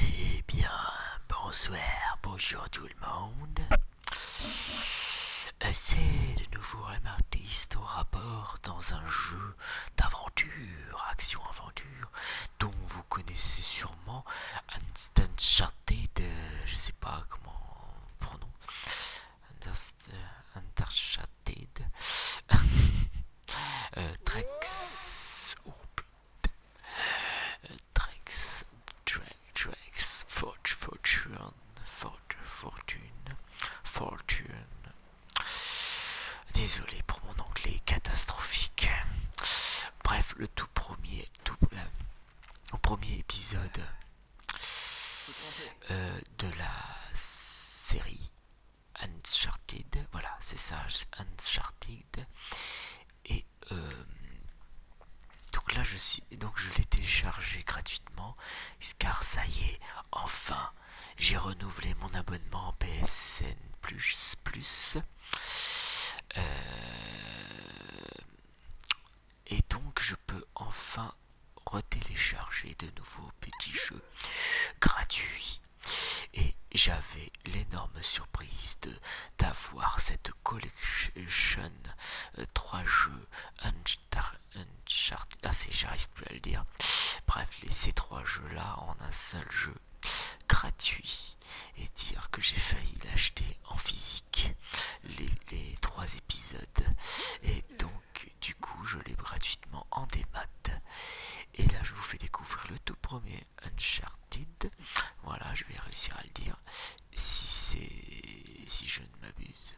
Eh bien, bonsoir, bonjour tout le monde. Euh, c'est de nouveau un artiste au rapport dans un jeu d'aventure, action-aventure, dont vous connaissez sûrement de... Euh, je sais pas comment prononcer. Uncharted, euh, euh, Trex, oh, Trex, Trex, Forge, Fortune, Forge, Fortune, Fortune. Désolé pour mon anglais catastrophique. Bref, le tout premier, tout, le euh, premier épisode euh, de la série Uncharted. Voilà, c'est ça, Uncharted. Et euh, donc là, je suis, donc je l'ai téléchargé gratuitement, car ça y est, enfin, j'ai renouvelé mon abonnement PSN plus plus. Euh, et donc je peux enfin retélécharger de nouveaux petits jeux gratuits. Et j'avais l'énorme surprise de d'avoir cette collection 3 euh, trois jeux Uncharted, ah c'est j'arrive plus à le dire. Bref, ces trois jeux là en un seul jeu gratuit et dire que j'ai failli l'acheter en physique les, les trois épisodes et donc du coup je l'ai gratuitement en débat et là je vous fais découvrir le tout premier Uncharted voilà je vais réussir à le dire si c'est si je ne m'abuse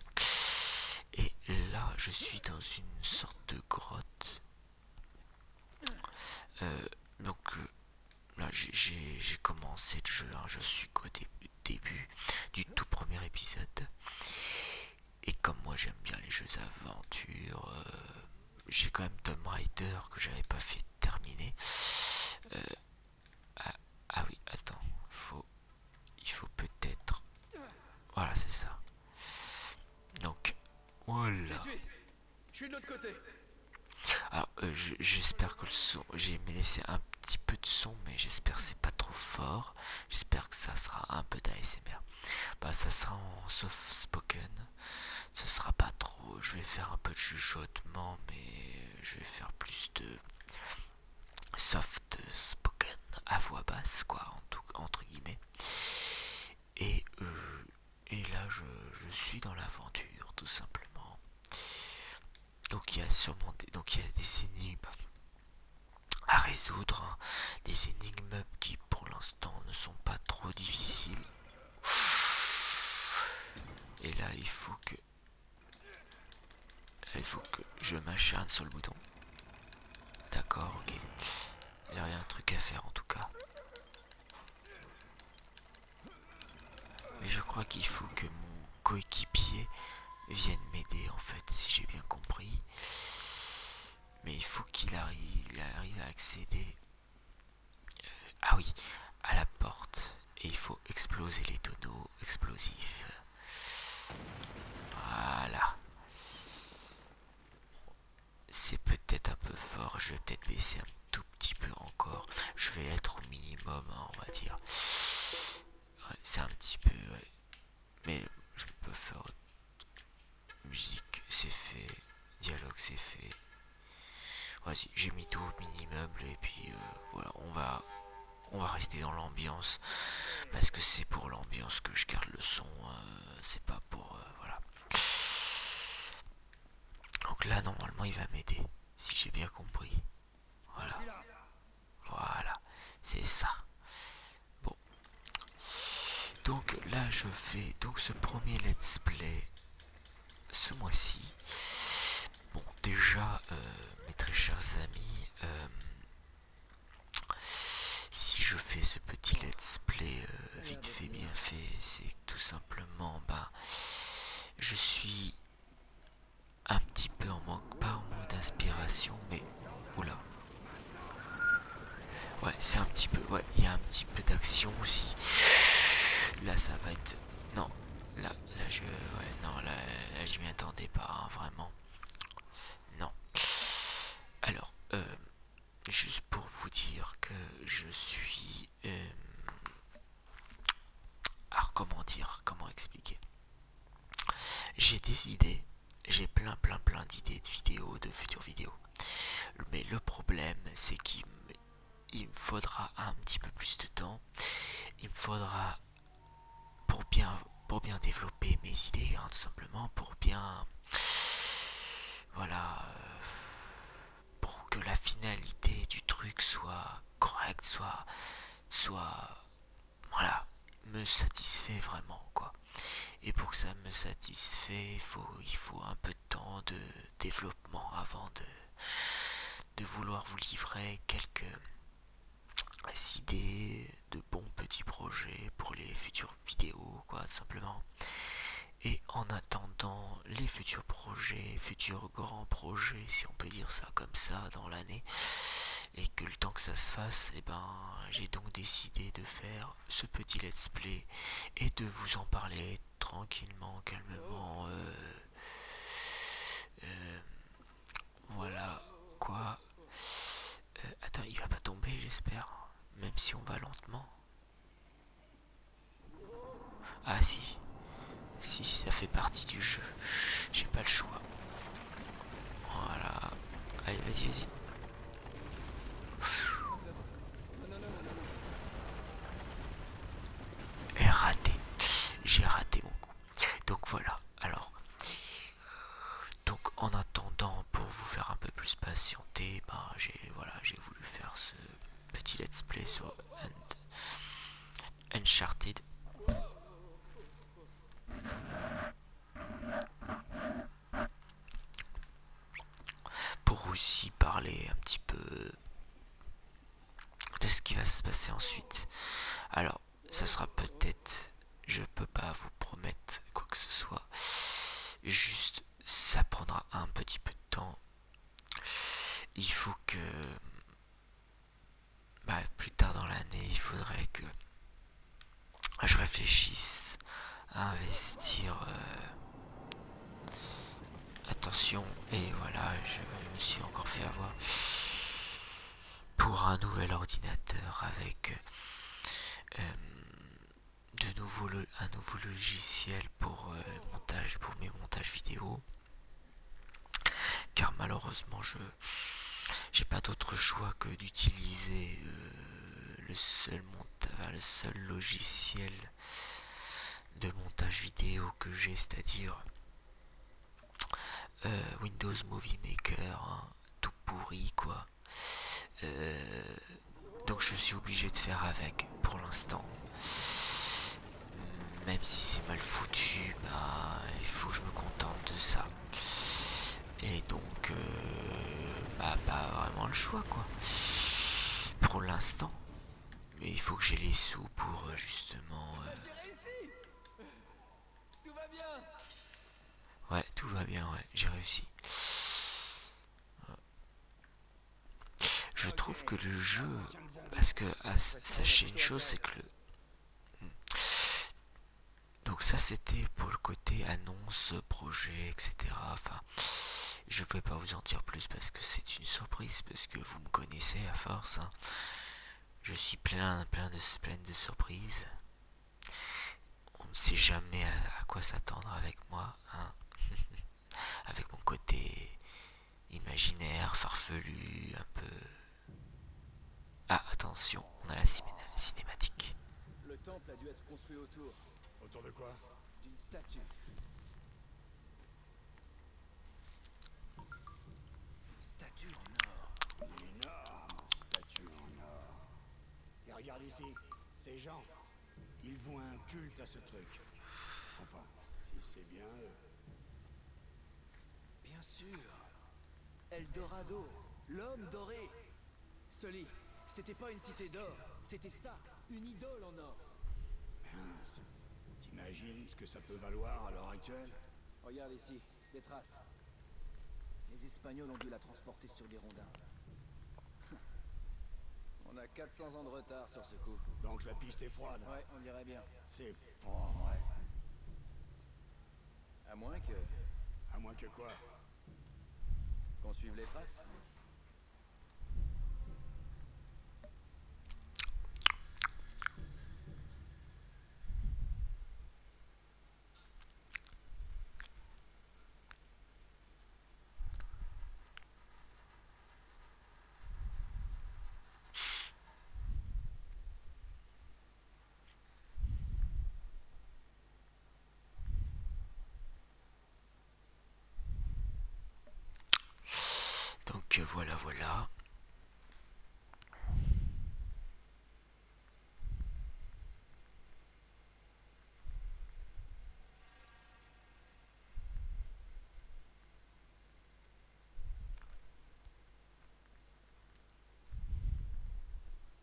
et là je suis dans une sorte de grotte euh, donc euh, là j'ai commencé le jeu hein. je suis au début du tout premier épisode et comme moi j'aime bien les jeux d'aventure, euh, j'ai quand même Tomb Raider que j'avais pas fait terminer. Euh, ah, ah, oui, attends, il faut peut-être. Voilà, c'est ça. Donc, voilà. Je suis, de l'autre côté. Alors, euh, j'espère que le son, j'ai laissé un petit peu de son, mais j'espère c'est pas trop fort. J'espère que ça sera un peu d'ASMR. Bah ça sera en soft spoken. Ce sera pas trop. Je vais faire un peu de chuchotement, mais je vais faire plus de soft spoken à voix basse, quoi, en tout, entre guillemets. Et, euh, et là, je, suis dans l'aventure, tout simplement. Donc il y a sûrement des, donc il y a des bah, à résoudre. Des énigmes qui pour l'instant ne sont pas trop difficiles. Et là il faut que... il faut que je m'acharne sur le bouton. D'accord, ok. Il y a un truc à faire en tout cas. Mais je crois qu'il faut que mon coéquipier vienne m'aider en fait, si j'ai bien compris mais il faut qu'il arrive, arrive à accéder. Euh, ah oui, à la porte. Et il faut exploser les tonneaux explosifs. Voilà. C'est peut-être un peu fort. Je vais peut-être baisser un tout petit peu encore. Je vais être au minimum, hein, on va dire. C'est un petit peu... Mais je peux faire musique, c'est fait, dialogue, c'est fait. voici j'ai mis tout mini meuble et puis euh, voilà, on va on va rester dans l'ambiance parce que c'est pour l'ambiance que je garde le son, euh, c'est pas pour euh, voilà. Donc là normalement il va m'aider si j'ai bien compris. Voilà. Voilà, c'est ça. Bon, donc là je fais donc ce premier let's play ce mois-ci bon déjà euh, mes très chers amis euh, si je fais ce petit let's play euh, vite fait bien fait c'est tout simplement bah je suis un petit peu en manque pas en manque d'inspiration mais oula Ouais, c'est un petit peu... Ouais, il y a un petit peu d'action aussi. Là, ça va être... Non, là, là, je... Ouais, non, là, là je m'y attendais pas, hein, vraiment. Non. Alors, euh, juste pour vous dire que je suis... Euh, alors, comment dire Comment expliquer j'ai des idées, j'ai plein plein plein d'idées de vidéos, de futures vidéos. Mais le problème, c'est qu'il me faudra un petit peu plus de temps. Il me faudra pour bien pour bien développer mes idées, hein, tout simplement, pour bien voilà euh, pour que la finalité du truc soit correcte, soit soit voilà, me satisfait vraiment quoi. Et pour que ça me satisfait, faut, il faut un peu de temps de développement avant de, de vouloir vous livrer quelques idées de bons petits projets pour les futures vidéos, quoi, simplement. Et en attendant les futurs projets, futurs grands projets, si on peut dire ça comme ça, dans l'année, et que le temps que ça se fasse, et eh ben, j'ai donc décidé de faire ce petit let's play et de vous en parler tranquillement, calmement. Euh, euh, voilà quoi. Euh, attends, il va pas tomber, j'espère. Même si on va lentement. Ah si. Si, ça fait partie du jeu. J'ai pas le choix. Voilà. Allez, vas-y, vas-y. Et raté. J'ai raté mon coup. Donc voilà. Alors. Donc en attendant, pour vous faire un peu plus patienter, ben, j'ai voilà, j'ai voulu faire ce petit let's play sur Uncharted pour aussi parler un petit peu de ce qui va se passer ensuite. Alors, ça sera peut-être, je peux pas vous promettre quoi que ce soit, juste ça prendra un petit peu de temps. Il faut que, bah, plus tard dans l'année, il faudrait que ah, je réfléchisse à investir. Euh, attention, et voilà, je me suis encore fait avoir pour un nouvel ordinateur avec euh, de nouveau un nouveau logiciel pour euh, montage pour mes montages vidéo car malheureusement je j'ai pas d'autre choix que d'utiliser le seul le seul logiciel de montage vidéo que j'ai, c'est-à-dire euh, Windows Movie Maker, hein, tout pourri quoi. Euh, donc je suis obligé de faire avec pour l'instant. Même si c'est mal foutu, bah il faut que je me contente de ça. Et donc, euh, bah, pas vraiment le choix, quoi. Pour l'instant. Mais il faut que j'ai les sous pour euh, justement. Euh, tout va bien. Ouais, tout va bien, ouais, j'ai réussi. Je trouve que le jeu, parce que ah, sachez une chose, c'est que le, hmm, donc ça c'était pour le côté annonce, projet, etc. Enfin, je ne vais pas vous en dire plus parce que c'est une surprise, parce que vous me connaissez à force. Hein. Je suis plein, plein de, plein de surprises. On ne sait jamais à, quoi s'attendre avec moi, hein. avec mon côté imaginaire, farfelu, un peu... Ah, attention, on a la cinématique. Le temple a dû être construit autour. Autour de quoi D'une statue. Une statue en or. Une énorme statue en or. Et regarde ici, ces gens, ils vont un culte à ce truc. Enfin, si c'est bien Bien sûr. Eldorado, l'homme doré, Sully, c'était pas une cité d'or, c'était ça, une idole en or. T'imagines ce que ça peut valoir à l'heure actuelle Regarde ici, des traces. Les Espagnols ont dû la transporter sur des rondins. On a 400 ans de retard sur ce coup. Donc la piste est froide Ouais, on dirait bien. C'est pas vrai. À moins que... À moins que quoi qu'on suive les presses. Donc euh, voilà, voilà.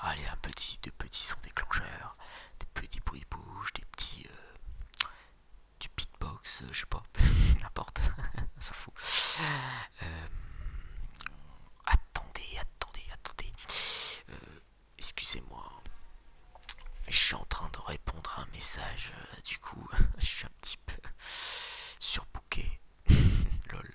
Allez, un petit, deux petits sons déclencheurs, des petits bruits de des petits, euh, du beatbox, euh, je sais pas. N'importe. ça s'en fout. Euh, attendez, attendez, attendez. Euh, excusez-moi. Je suis en train de répondre à un message. Euh, du coup, je suis un petit peu surbooké. Lol.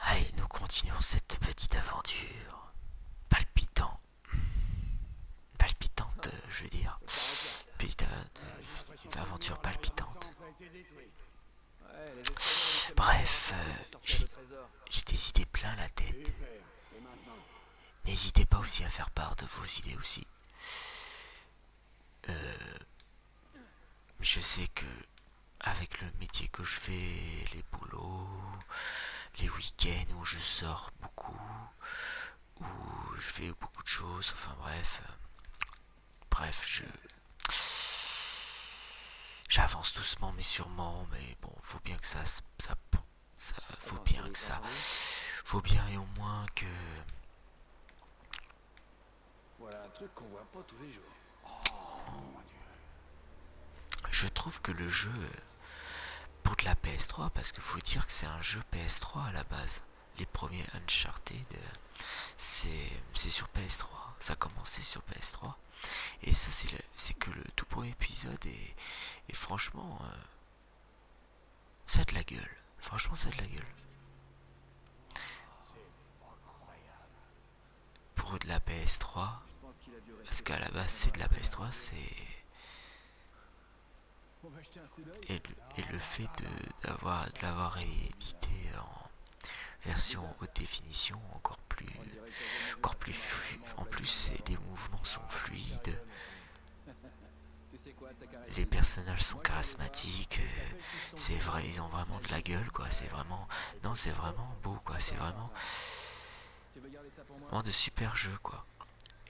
Allez, nous continuons cette petite aventure palpitante, palpitante, je veux dire, petite aventure palpitante. Bref, euh, j'ai des idées plein la tête. N'hésitez pas aussi à faire part de vos idées aussi. Euh, je sais que avec le métier que je fais, les boulots, les week-ends où je sors beaucoup, où je fais beaucoup de choses, enfin bref, euh, bref, je j'avance doucement mais sûrement, mais bon, faut bien que ça, ça, ça faut bien que ça, faut bien et au moins que voilà un truc qu'on voit pas tous les jours. Oh, Je trouve que le jeu pour de la PS3, parce que faut dire que c'est un jeu PS3 à la base. Les premiers Uncharted, c'est sur PS3. Ça a commencé sur PS3. Et ça, c'est que le tout premier épisode. Et, franchement, euh, ça de la gueule. Franchement, ça de la gueule pour de la PS3. Parce qu'à la base, c'est de la PS3, c'est. Et, le fait d'avoir de l'avoir édité en version haute définition, encore plus. Encore plus fluide. En plus, les mouvements sont fluides. Les personnages sont charismatiques, euh, c'est vrai, ils ont vraiment de la gueule, quoi. C'est vraiment, non, c'est vraiment beau, quoi. C'est vraiment, Vraiment de super jeu quoi.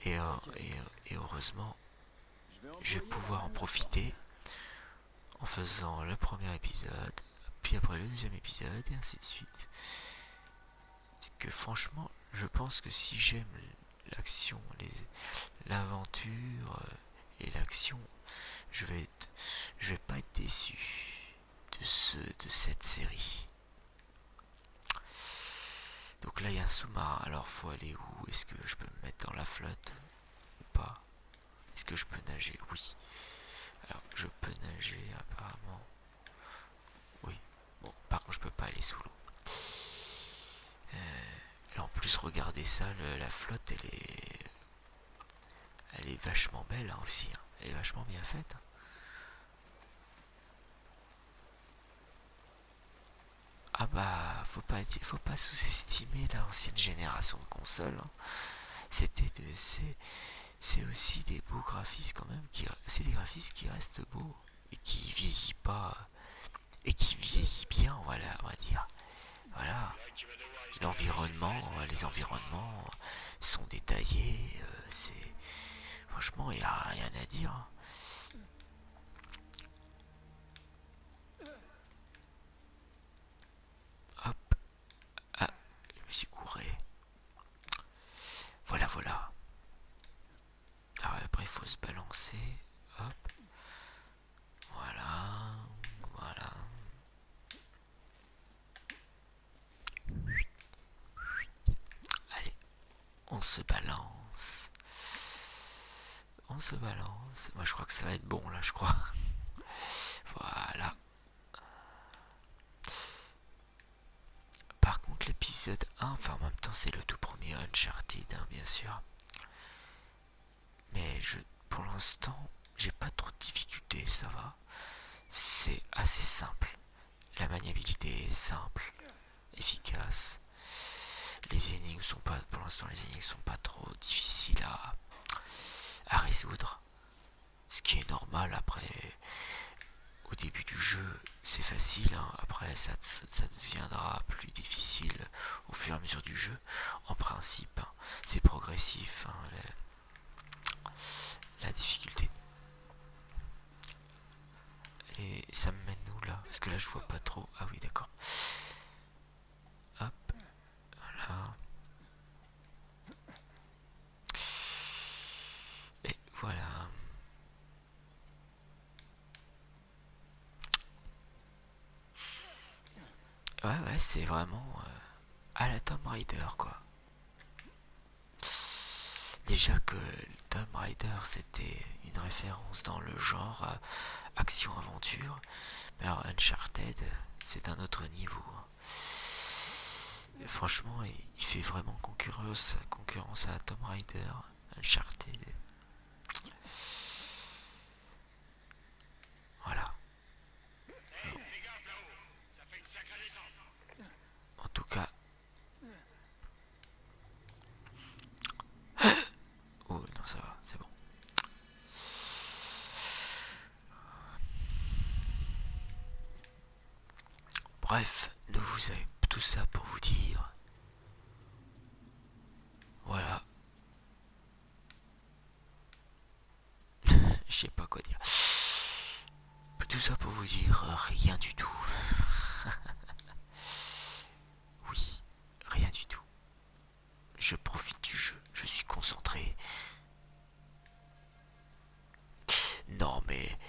Euh, euh, et, heureusement, je vais pouvoir en profiter en faisant le premier épisode, puis après le deuxième épisode, et ainsi de suite. Parce que franchement, je pense que si j'aime l'action, l'aventure euh, et l'action, je vais je vais pas être déçu de ce, de cette série. Donc là, il y a un sous-marin. Alors, faut aller où Est-ce que je peux me mettre dans la flotte ou pas Est-ce que je peux nager Oui. Alors, je peux nager apparemment. Oui. Bon, par contre, je peux pas aller sous l'eau. Euh, là, en plus, regardez ça, la flotte, elle est... Elle est vachement belle hein, aussi. Hein. Elle est vachement bien faite. Hein. Ah bah, faut pas, faut pas sous-estimer l'ancienne génération de consoles. Hein. C'était de, c'est aussi des beaux graphismes quand même. C'est des graphismes qui restent beaux et qui vieillissent pas et qui vieillissent bien, voilà, on va dire. Voilà. L'environnement, les environnements, sont détaillés, euh, c'est franchement, il n'y a rien à dire. Hop, ah, je me suis Voilà, voilà. Ah après, il faut se balancer. Hop, voilà, voilà. Allez, on se balance. On se balance. Moi, je crois que ça va être bon, là, je crois. Voilà. Par contre, l'épisode 1, enfin, en même temps, c'est le tout premier Uncharted, hein, bien sûr. Mais je, pour l'instant, j'ai pas trop de difficultés, ça va. C'est assez simple. La maniabilité est simple, efficace. Les énigmes sont pas, pour l'instant, les énigmes sont pas trop difficiles à, résoudre. Ce qui est normal après, au début du jeu, c'est facile. Hein. Après, ça, deviendra plus difficile au fur et à mesure du jeu. En principe, hein, c'est progressif. Hein, la difficulté. Et ça me mène où là Parce que là je vois pas trop. Ah oui d'accord. Hop. Voilà. Et voilà. Ouais ouais c'est vraiment euh, à la Tomb Raider quoi. Déjà que Tom Rider c'était une référence dans le genre euh, action-aventure, mais alors Uncharted c'est un autre niveau. Hein. franchement, il, fait vraiment concurrence, concurrence à Tomb Raider, Uncharted. Voilà. Hein. En tout cas, Oh non ça va, c'est bon. Bref, nous vous avez tout ça pour vous dire. Voilà. Je sais pas quoi dire. Tout ça pour vous dire euh, rien du tout. oui, rien du tout. Je profite du jeu, je suis concentré. Non mais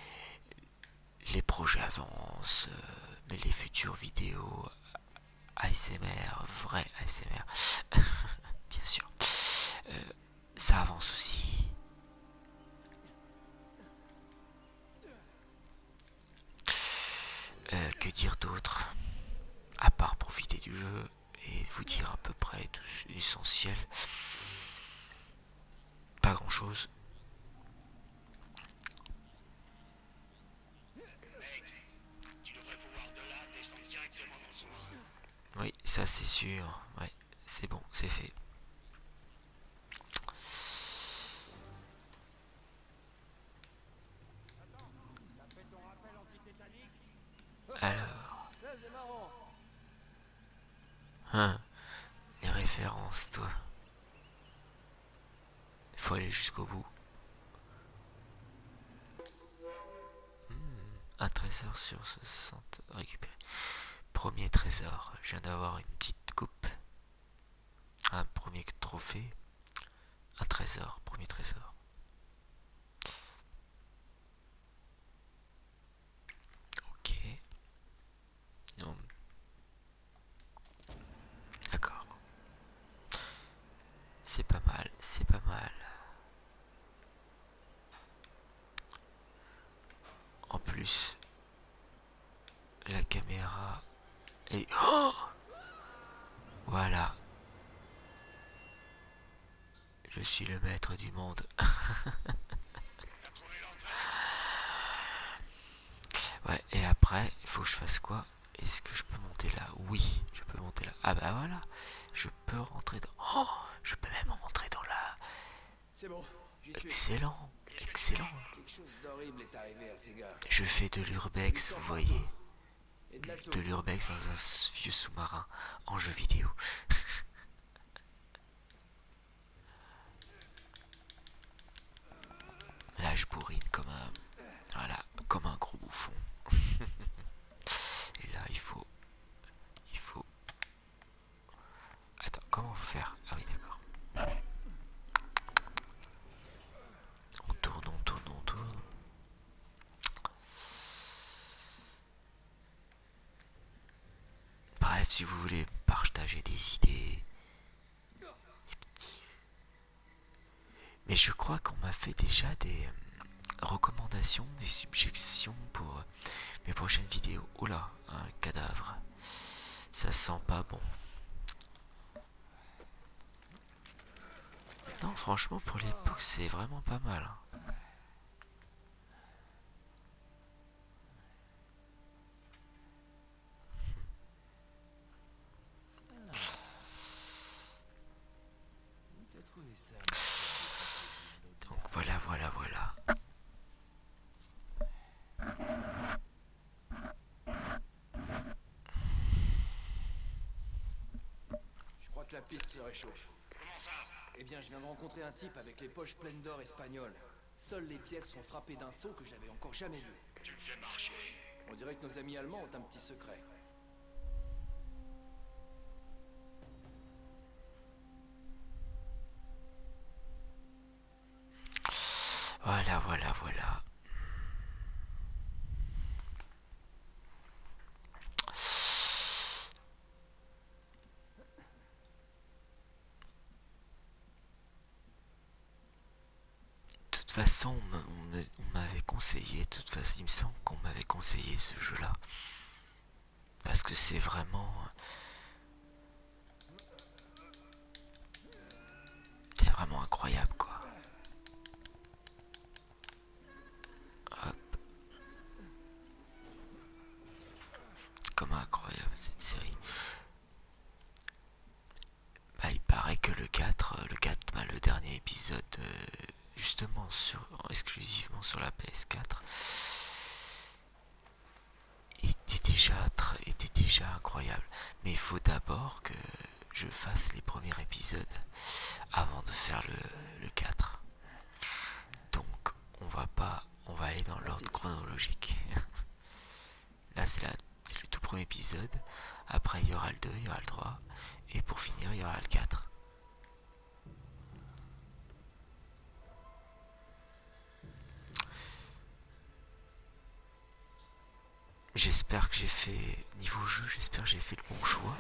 les projets avancent, euh, mais les futures vidéos ASMR, vrai ASMR, bien sûr. Euh, ça avance aussi. Euh, que dire d'autre À part profiter du jeu et vous dire à peu près tout l'essentiel. Pas grand chose. Oui, ça c'est sûr. Ouais, c'est bon, c'est fait. Alors. Hein. Les références, toi. Il faut aller jusqu'au bout. Hmm, un trésor sur ce récupérer. Premier trésor. Je viens d'avoir une petite coupe. Un premier trophée. Un trésor. Premier trésor. Ok. Non. D'accord. C'est pas mal. C'est pas mal. En plus, la caméra et oh voilà je suis le maître du monde ouais et après il faut que je fasse quoi est-ce que je peux monter là oui je peux monter là ah bah voilà je peux rentrer dans oh je peux même rentrer dans la c'est bon Excellent, excellent. Je fais de l'urbex, vous voyez. De l'urbex dans un vieux sous-marin en jeu vidéo. Là, je bourrine comme un... Voilà, comme un gros bouffon. Et là, il faut... Il faut Attends, comment vous faire Ah oui, d'accord. On tourne, on tourne, on tourne. Bref, si vous voulez partager des idées. Mais je crois qu'on m'a fait déjà des euh, recommandations, des subjections pour euh, mes prochaines vidéos. Oula, là, un cadavre. Ça sent pas bon. Non, franchement, pour l'époque, c'est vraiment pas mal. Hein. Donc voilà, voilà, voilà. Je crois que la piste se réchauffe. Comment ça Eh bien, je viens de rencontrer un type avec les poches pleines d'or espagnol. Seules les pièces sont frappées d'un saut que j'avais encore jamais vu. Tu me fais marcher. On dirait que nos amis allemands ont un petit secret. Voilà, voilà, voilà. De toute façon, on m'avait conseillé, de toute façon, il me semble qu'on m'avait conseillé ce jeu-là. Parce que c'est vraiment c'est vraiment incroyable quoi. Comme incroyable cette série. Bah, il paraît que le 4, euh, le 4, bah, le dernier épisode, euh, justement sur, exclusivement sur la PS4, il était déjà incroyable. Mais il faut d'abord que je fasse les premiers épisodes avant de faire le, le 4. Donc on va pas on va aller dans l'ordre chronologique. Là c'est le tout premier épisode. Après il y aura le 2, il y aura le 3. Et pour finir il y aura le 4. J'espère que j'ai fait, niveau jeu, j'espère que j'ai fait le bon choix.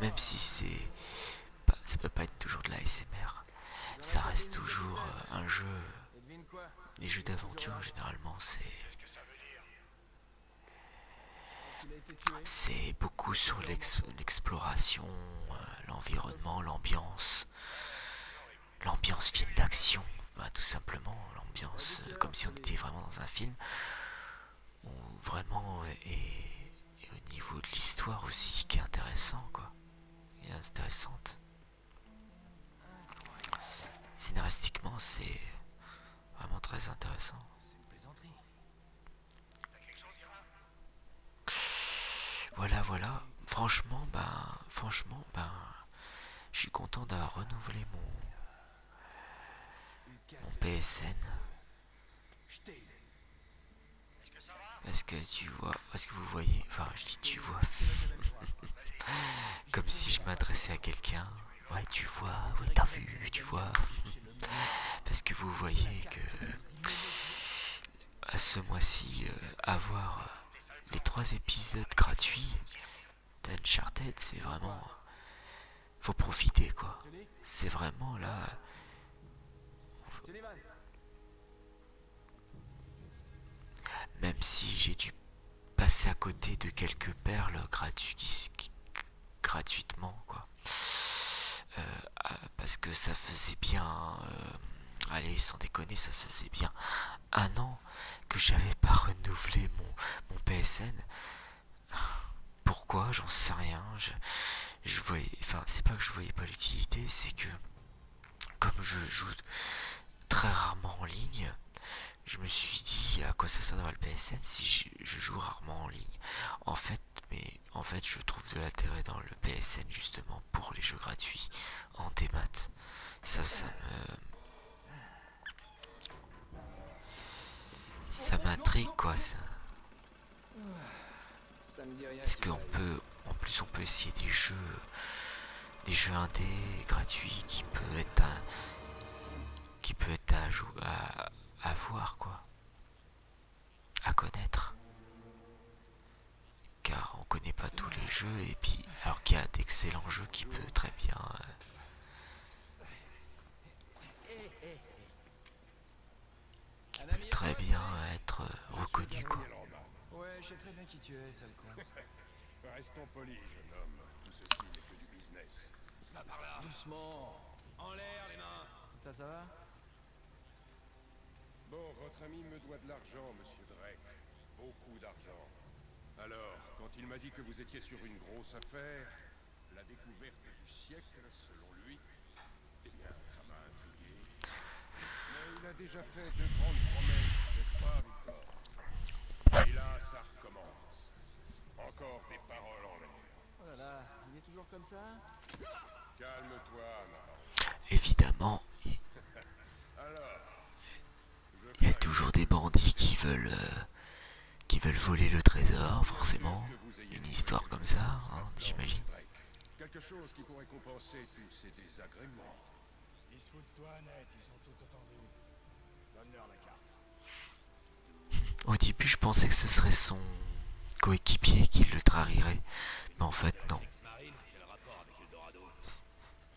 Même si c'est, ça peut pas être toujours de la SMR. Ça reste toujours euh, un jeu, les jeux d'aventure généralement c'est... C'est beaucoup sur l'exploration, euh, l'environnement, l'ambiance l'ambiance film d'action. Bah, tout simplement, l'ambiance euh, comme si on était vraiment dans un film. Où vraiment, et, au niveau de l'histoire aussi, qui est intéressant, quoi. Et intéressante. Scénaristiquement, c'est vraiment très intéressant. Voilà, voilà. Franchement, ben, franchement, ben, je suis content d'avoir renouvelé mon, PSN. Est-ce que tu vois, est que vous voyez, enfin, je dis tu vois, comme si je m'adressais à quelqu'un. Ouais, tu vois, t'as vu, tu vois. Parce que vous voyez que à ce mois-ci euh, avoir euh, les trois épisodes gratuits d'Uncharted, c'est vraiment. Euh, faut profiter quoi. C'est vraiment là. Même si j'ai dû passer à côté de quelques perles gratuites, gratuitement quoi. parce que ça faisait bien. allez, sans déconner, ça faisait bien un ah an que j'avais pas renouvelé mon, PSN. Pourquoi J'en sais rien. Je, je voyais, enfin, c'est pas que je voyais pas l'utilité, c'est que comme je joue très rarement en ligne, je me suis dit à quoi ça sert le PSN si je, joue rarement en ligne. En fait, mais en fait, je trouve de l'intérêt dans le PSN justement pour les jeux gratuits en démat. Ça, ça me... Ça m'intrigue, quoi, ça. Est-ce qu'on peut... En plus, on peut essayer des jeux... Des jeux indés, gratuits, qui peut être un... Qui peut être à, à, à voir, quoi. À connaître car on connaît pas tous les jeux et puis alors qu'il y a d'excellents jeux qui euh, peut très bien très bien être euh, reconnu quoi. Ouais, je sais très bien qui tu es, sale con. Restons polis, jeune homme. Tout ceci n'est que du business. Pas par là. Doucement. En l'air les mains. Ça, ça va Bon, votre ami me doit de l'argent, monsieur Drake. Alors, quand il m'a dit que vous étiez sur une grosse affaire, la découverte du siècle, selon lui, eh bien, ça m'a intrigué. Mais il a déjà fait de grandes promesses, n'est-ce pas, Victor Et là, ça recommence. Encore des paroles en l'air. Oh là là, il est toujours comme ça Calme-toi, Évidemment. Alors, il y a toujours des bandits euh, qui veulent voler le trésor, forcément. Une histoire comme ça, j'imagine. Au début, je pensais que ce serait son coéquipier qui le trahirait, mais en fait, non.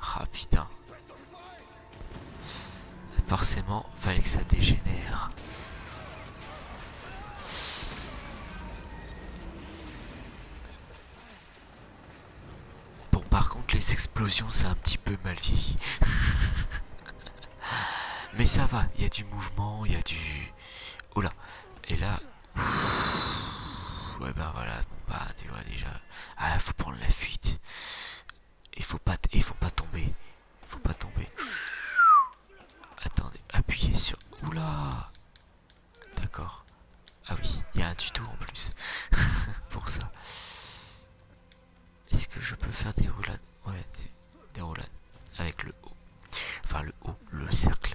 Ah putain. Forcément, fallait que ça dégénère. Bon, par contre, les explosions, ça un petit peu mal vieilli. Mais ça va, il y a du mouvement, il y a du... Oula, et là, Ouais ben voilà, bah tu vois déjà. Ah faut prendre la fuite. Il faut pas il faut pas tomber. Faut pas tomber. Attendez, appuyez sur. Oula D'accord. Ah oui, il y a un tuto en plus. Pour ça. Est-ce que je peux faire des roulades Ouais, des roulades. Avec le haut. Enfin le haut, le cercle.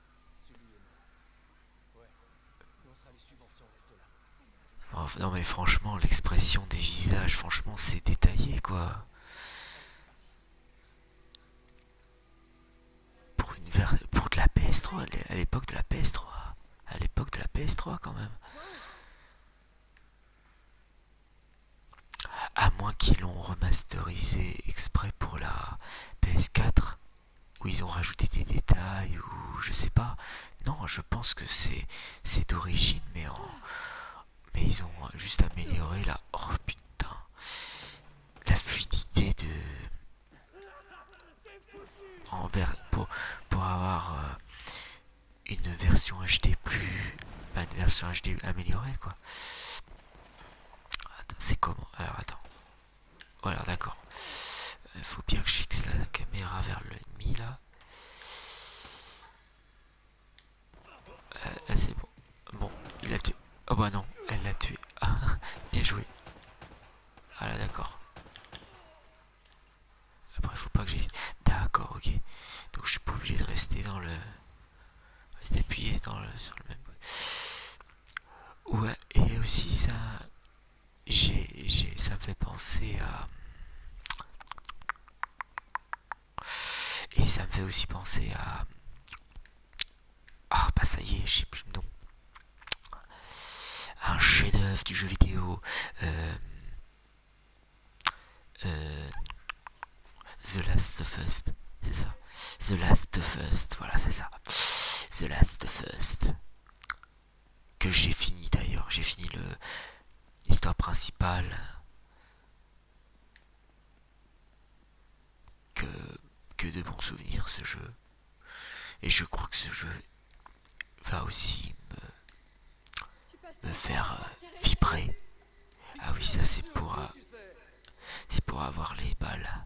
Oh, non mais franchement, l'expression des visages, franchement, c'est détaillé quoi. Pour, une pour de la PS3, à l'époque de la PS3. À l'époque de la PS3 quand même. À moins qu'ils l'ont remasterisé exprès pour la PS4 où ils ont rajouté des détails ou je sais pas. Non, je pense que c'est c'est d'origine, mais mais ils ont juste amélioré la oh la fluidité de envers pour avoir euh, une version HD plus une version HD améliorée quoi. C'est comment Alors attends. Voilà, d'accord. Il euh, faut bien que je fixe la caméra vers l'ennemi, là. Euh, là, c'est bon. Bon, il a tué. Oh bah non, elle l'a tué. Ah, bien joué. Voilà, ah, d'accord. Après, faut pas que j'hésite. D'accord, ok. Donc, je suis pas obligé de rester dans le... Rester appuyé dans le... sur le même... Ouais, et aussi ça, j'ai, ça me fait penser à... Et ça me fait aussi penser à... Ah bah ça y est, je sais plus le Un chef-d'œuvre du jeu vidéo. Euh, euh, The Last of Us, c'est ça. The Last First, voilà, c'est ça. The Last First Que j'ai fini d'ailleurs, j'ai fini le l'histoire principale. Que, que de bons souvenirs ce jeu. Et je crois que ce jeu va aussi me, me faire euh, vibrer. Ah oui, ça c'est pour, euh, c'est pour avoir les balles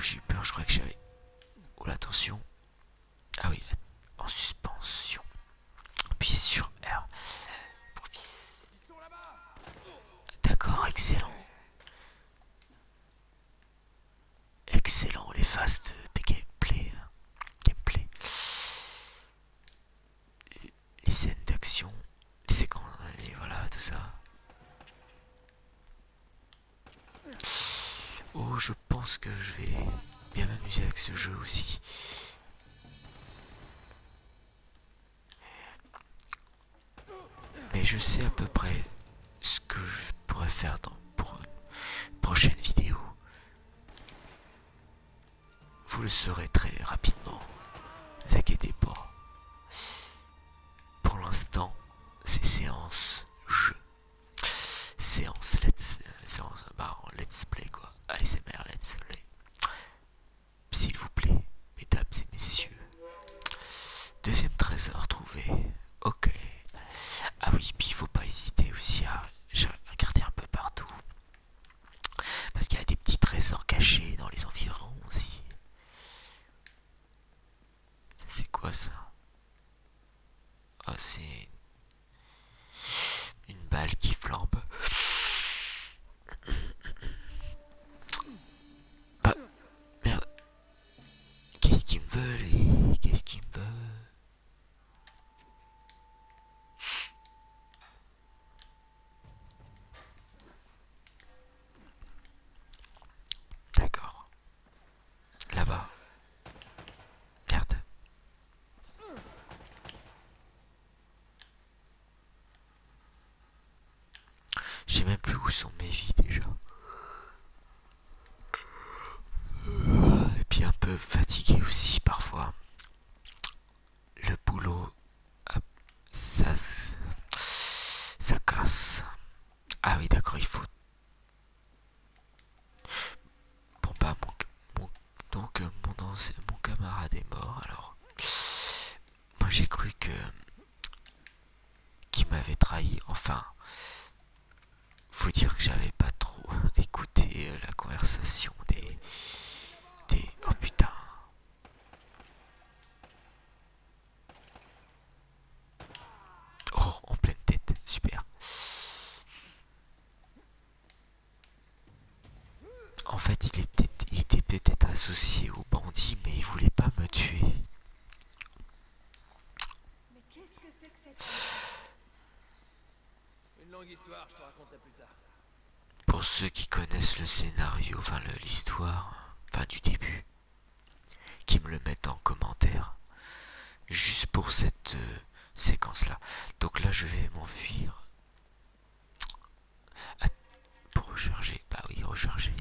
J'ai peur, je crois que j'avais... Oh la tension. Ah oui, en suspension. Puis sur R. D'accord, excellent. Excellent, les phases de, gameplay. Gameplay. Hein. Les scènes d'action. Les séquences. Et voilà, tout ça. Oh, je pense que je vais bien m'amuser avec ce jeu aussi. Mais je sais à peu près ce que je pourrais faire dans, pour une prochaine vidéo. Vous le saurez très rapidement. Ne vous inquiétez pas. Pour l'instant, c'est séance jeu. Séance let's, euh, séance, bah, let's play quoi. ASMR let's play. S'il vous plaît, mesdames et messieurs. Deuxième trésor trouvé. Ok. Ah oui, puis il faut pas hésiter aussi à regarder un peu partout. Parce qu'il y a des petits trésors cachés dans les environs aussi. C'est quoi ça Ah, c'est une balle qui flambe. Ah, merde. Qu'est-ce qu'il me veut, Qu'est-ce qu'il me veut D'accord. Là-bas. Merde. J'ai même plus où sont mes vies déjà. Et puis un peu fatigué aussi parfois. Le boulot, ça, ça casse. Ah oui, d'accord, il faut... Bon, bah, mon, donc, euh, mon, camarade est mort, alors... Moi, j'ai cru que... Qu'il m'avait trahi, enfin... Faut dire que j'avais pas trop écouté euh, la conversation des... Des... Oh, putain Oh, en pleine tête, super. En fait, il était, était peut-être associé au bandit, mais il voulait pas me tuer. Pour ceux qui connaissent le scénario, enfin l'histoire, enfin du début, qui me le mettent en commentaire juste pour cette euh, séquence là donc là je vais m'enfuir ah, pour recharger bah oui recharger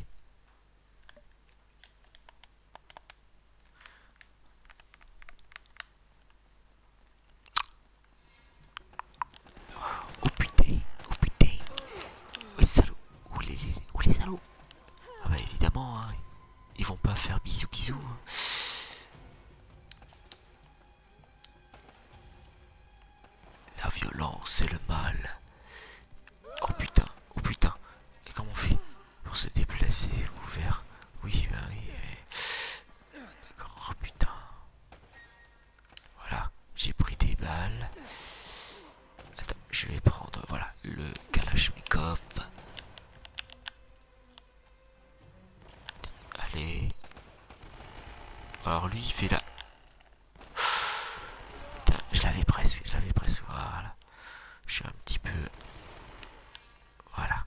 oh, oh putain oh putain oh les salauds les salauds ah bah évidemment, hein. ils vont pas faire bisous bisou hein. La violence, c'est le mal. Oh putain, oh putain. Et comment on fait pour se déplacer ouvert Oui, bah oui. oui. D'accord, oh putain. Voilà, j'ai pris des balles. Attends, je vais prendre, voilà, le kalashnikov Allez. Alors lui, il fait la... je l'avais presque, je l'avais presque, voilà. Je suis un petit peu... Voilà.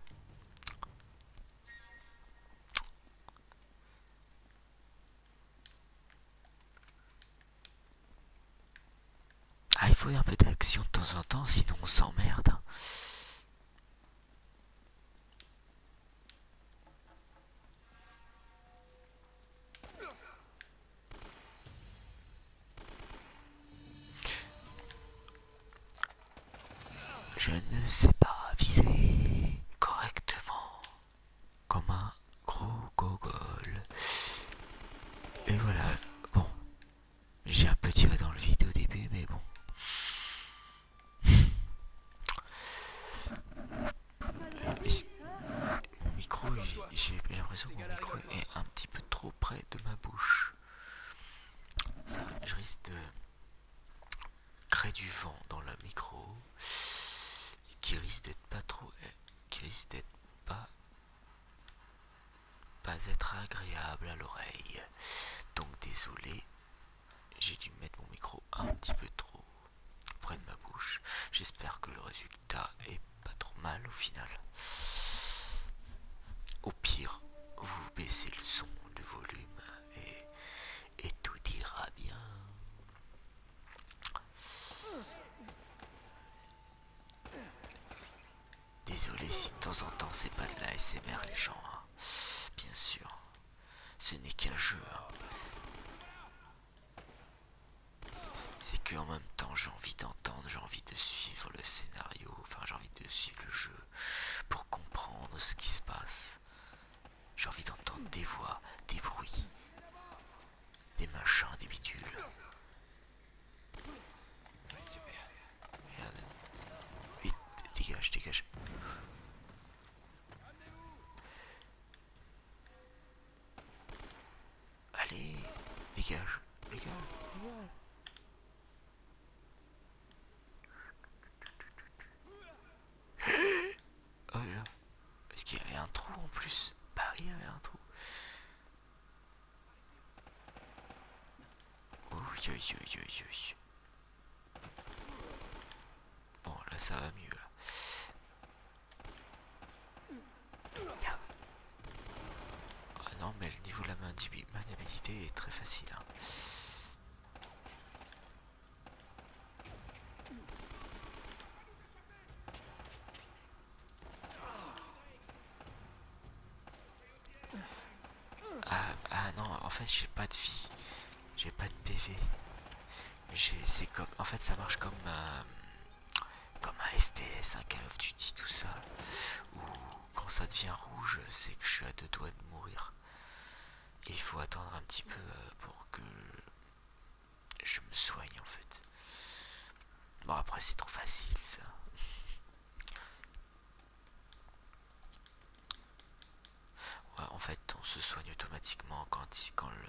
Ah, il faut un peu d'action de temps en temps, sinon on s'emmerde. Hein. Je ne sais pas viser correctement comme un gros gogol. Et voilà, Bon. J'ai un peu tiré dans le vide au début, mais bon. Euh, mon micro, j'ai l'impression que mon micro est un petit peu trop près de ma bouche. Ça, je risque de créer du vent dans le micro qui risque d'être pas trop, euh, qui risque d'être pas pas être agréable à l'oreille. Donc désolé, j'ai dû mettre mon micro un petit peu trop près de ma bouche. J'espère que le résultat est pas trop mal au final. Au pire, vous baissez le son, de volume et tout ira bien. Désolé si de temps en temps c'est pas de la SMR les gens. Hein. Bien sûr. Ce n'est qu'un jeu. Hein. C'est que en même temps j'ai envie d'entendre, j'ai envie de suivre le scénario, enfin j'ai envie de suivre le jeu pour comprendre ce qui se passe. J'ai envie d'entendre des voix, des bruits, des machins, des bidules. Vite, dégage, dégage. Allez, dégage, dégage, Oh là Est-ce qu'il y avait un trou en plus Paris bah il y avait un trou. Bon, là ça va mieux. Là. Ah non, mais le niveau de la maniabilité est très facile. Hein. Ah, ah, non, en fait j'ai pas de vie. J'ai pas de PV. C'est comme... En fait ça marche comme... Euh, comme un FPS, un Call of Duty, tout ça. Où quand ça devient rouge, c'est que je suis à deux doigts de mourir. il faut attendre un petit peu euh, pour que je me soigne en fait. Bon, après, c'est trop facile, ça. en fait, on se soigne automatiquement quand, quand le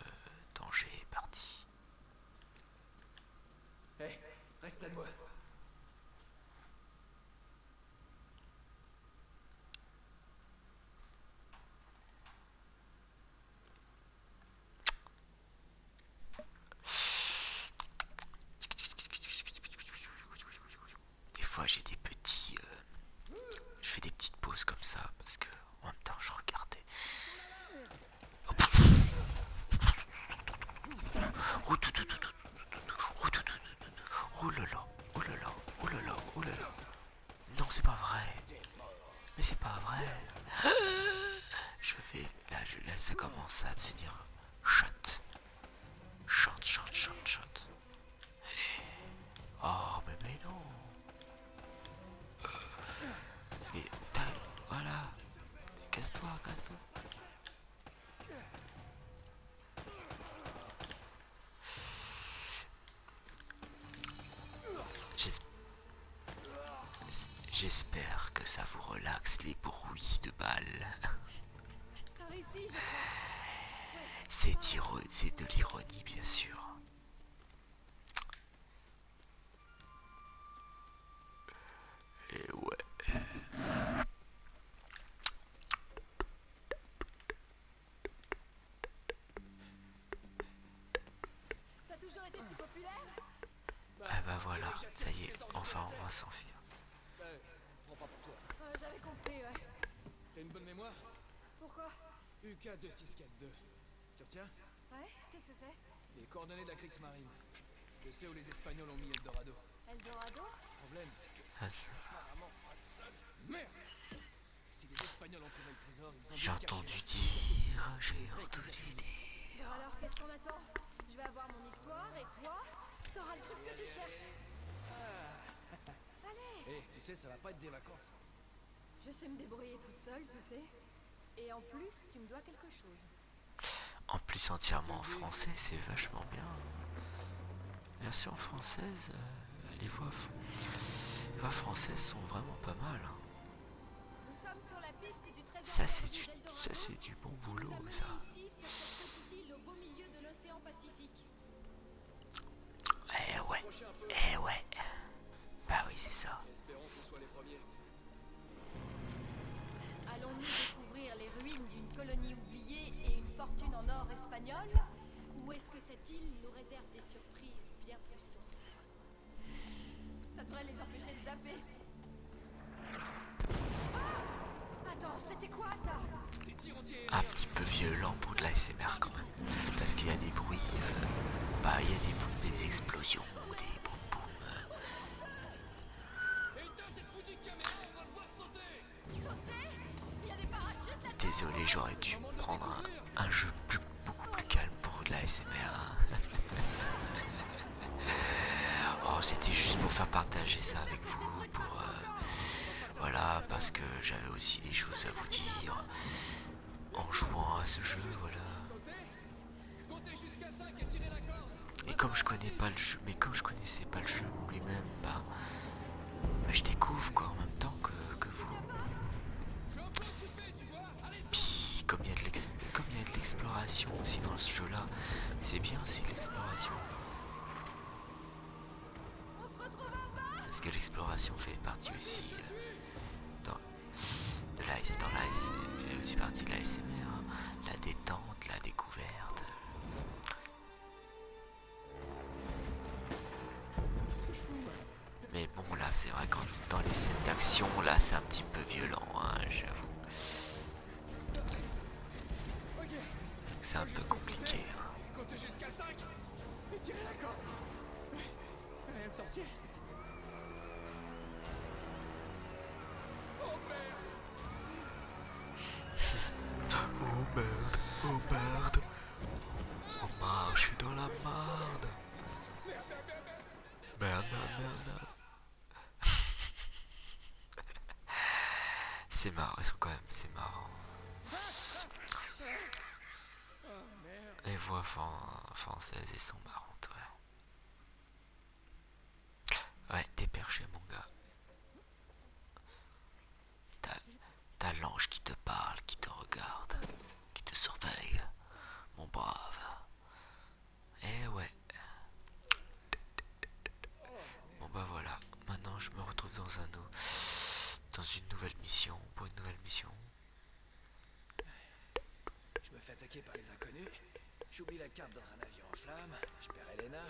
danger est parti. Des fois j'ai des petits... Euh, je fais des petites pauses comme ça parce que en même temps je regardais. Oh là là oh là là oh là oh là là non c'est pas vrai mais c'est pas vrai je vais là, je, laisse ça commence à devenir shot. Shot, shot, shot, shot. Oh, mais, non. Mais, euh. voilà. Casse-toi, casse-toi. J'espère que ça vous relaxe les bruits de balles. C'est de l'ironie, bien sûr. Et ouais. T'as toujours été si populaire ah bah voilà, ça y est, enfin on va s'enfuir. Euh, j'avais compris, ouais. T'as une bonne mémoire Pourquoi UK2642. Tu retiens Ouais, qu'est-ce que c'est Les coordonnées de la Kriegsmarine. Je sais où les Espagnols ont mis Eldorado. Eldorado Le problème, c'est que. Ah, Merde Si les Espagnols ont trouvé le trésor, ils ont. J'ai entendu dire, j'ai entendu dire. Alors qu'est-ce qu'on attend Je vais avoir mon et toi, t'auras le truc que tu cherches. Ah. Allez eh, tu sais, ça va pas être des vacances. Je sais me débrouiller toute seule, tu sais. Et en plus, tu me dois quelque chose. En plus, entièrement en français, c'est vachement bien. Version française, euh, les, voix, françaises sont vraiment pas mal. Hein. Nous sommes sur la piste ça c'est du, c'est du bon boulot ça. Eh ouais, eh ouais. Bah oui c'est ça. Allons-nous découvrir les ruines d'une colonie oubliée et une fortune en or espagnole Ou est-ce que cette île nous réserve des surprises bien plus sombres Ça devrait les empêcher de zapper. Un petit peu violent pour de la SMR quand même. Parce qu'il y a des bruits. Euh, bah, il y a des des explosions ou des boum boum. Désolé, j'aurais dû prendre un, jeu plus, beaucoup plus calme pour de la SMR. Hein. oh, c'était juste pour faire partager ça avec vous, pour... Euh, voilà, parce que j'avais aussi des choses à vous dire en jouant à ce jeu, voilà. Et comme je connais pas le jeu, mais comme je connaissais pas le jeu lui-même, bah, bah, je découvre quoi en même temps que, que vous. Puis comme il y a de comme il y a de l'exploration aussi dans ce jeu-là, c'est bien aussi l'exploration. Parce que l'exploration fait partie aussi euh, de aussi partie de l'ASMR, hein. la détente, la découverte. Mais bon, là, c'est vrai que dans les scènes d'action, là, c'est un petit peu violent, hein, j'avoue. C'est un peu compliqué. Hein. Oh merde. oh merde. Oh merde. Bah, je suis dans la Merde, merde, merde. Merde, merde, merde. c'est marrant, ils sont quand même, c'est marrant. Les voix françaises, et sont marrantes, Ouais, t'es perché, mon gars. T'as l'ange qui te parle, qui te regarde, qui te surveille, mon brave. Eh ouais. Bon bah voilà, maintenant je me retrouve dans un dans une nouvelle mission, pour une nouvelle mission. Je me fais attaquer par les inconnus, j'oublie la carte dans un avion en flammes, je perds Elena,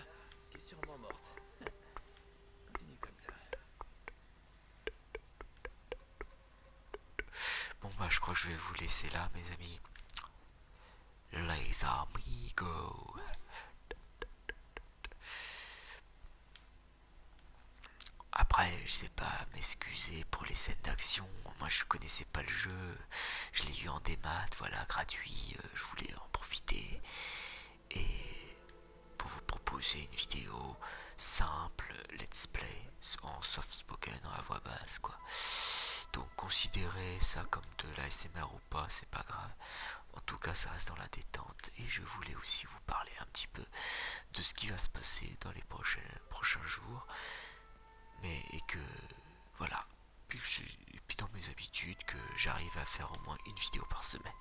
qui est sûrement morte. Continue comme ça. Bon bah je crois que je vais vous laisser là mes amis les go Après, je sais pas, m'excuser pour les scènes d'action. Moi, je connaissais pas le jeu. Je l'ai eu en démat, voilà, gratuit. Euh, je voulais en profiter. Et pour vous proposer une vidéo simple, let's play, en soft spoken, à voix basse, quoi. Donc considérez ça comme de l'ASMR ou pas, c'est pas grave. En tout cas, ça reste dans la détente. Et je voulais aussi vous parler un petit peu de ce qui va se passer dans les prochains, prochains jours. Mais et que voilà. Puis, dans mes habitudes que j'arrive à faire au moins une vidéo par semaine.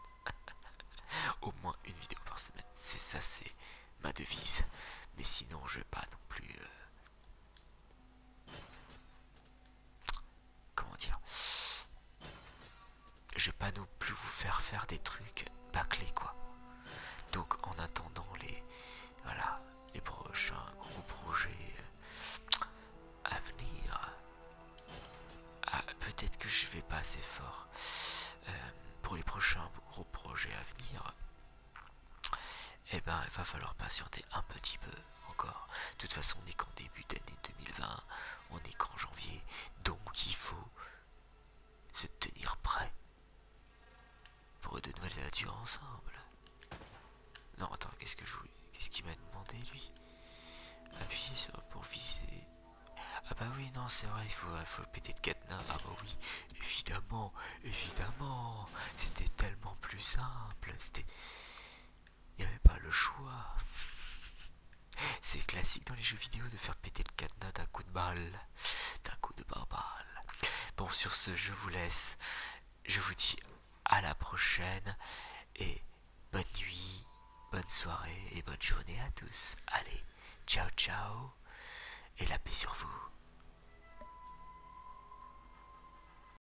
au moins une vidéo par semaine. C'est ça, c'est ma devise. Mais sinon, je vais pas non plus. Euh, comment dire je vais pas non plus vous faire faire des trucs pas bâclés quoi donc en attendant les voilà les prochains gros projets à venir ah, peut-être que je vais pas assez fort euh, pour les prochains gros projets à venir eh ben, il va falloir patienter un petit peu encore. De toute façon, on n'est qu'en début d'année 2020, on est qu'en janvier, donc il faut se tenir prêt pour de nouvelles aventures ensemble. Non, attends, qu'est-ce que je Qu'est-ce qu'il m'a demandé, lui Appuyer sur pour viser. Ah bah oui, non, c'est vrai, il faut, il faut péter de cadenas. Ah bah oui, évidemment, évidemment. C'était tellement plus simple. C'était... Il n'y avait pas le choix. C'est classique dans les jeux vidéo de faire péter le cadenas d'un coup de balle. D'un coup de balle. Bon, sur ce, je vous laisse. Je vous dis à la prochaine. Et bonne nuit, bonne soirée et bonne journée à tous. Allez, ciao ciao. Et la paix sur vous.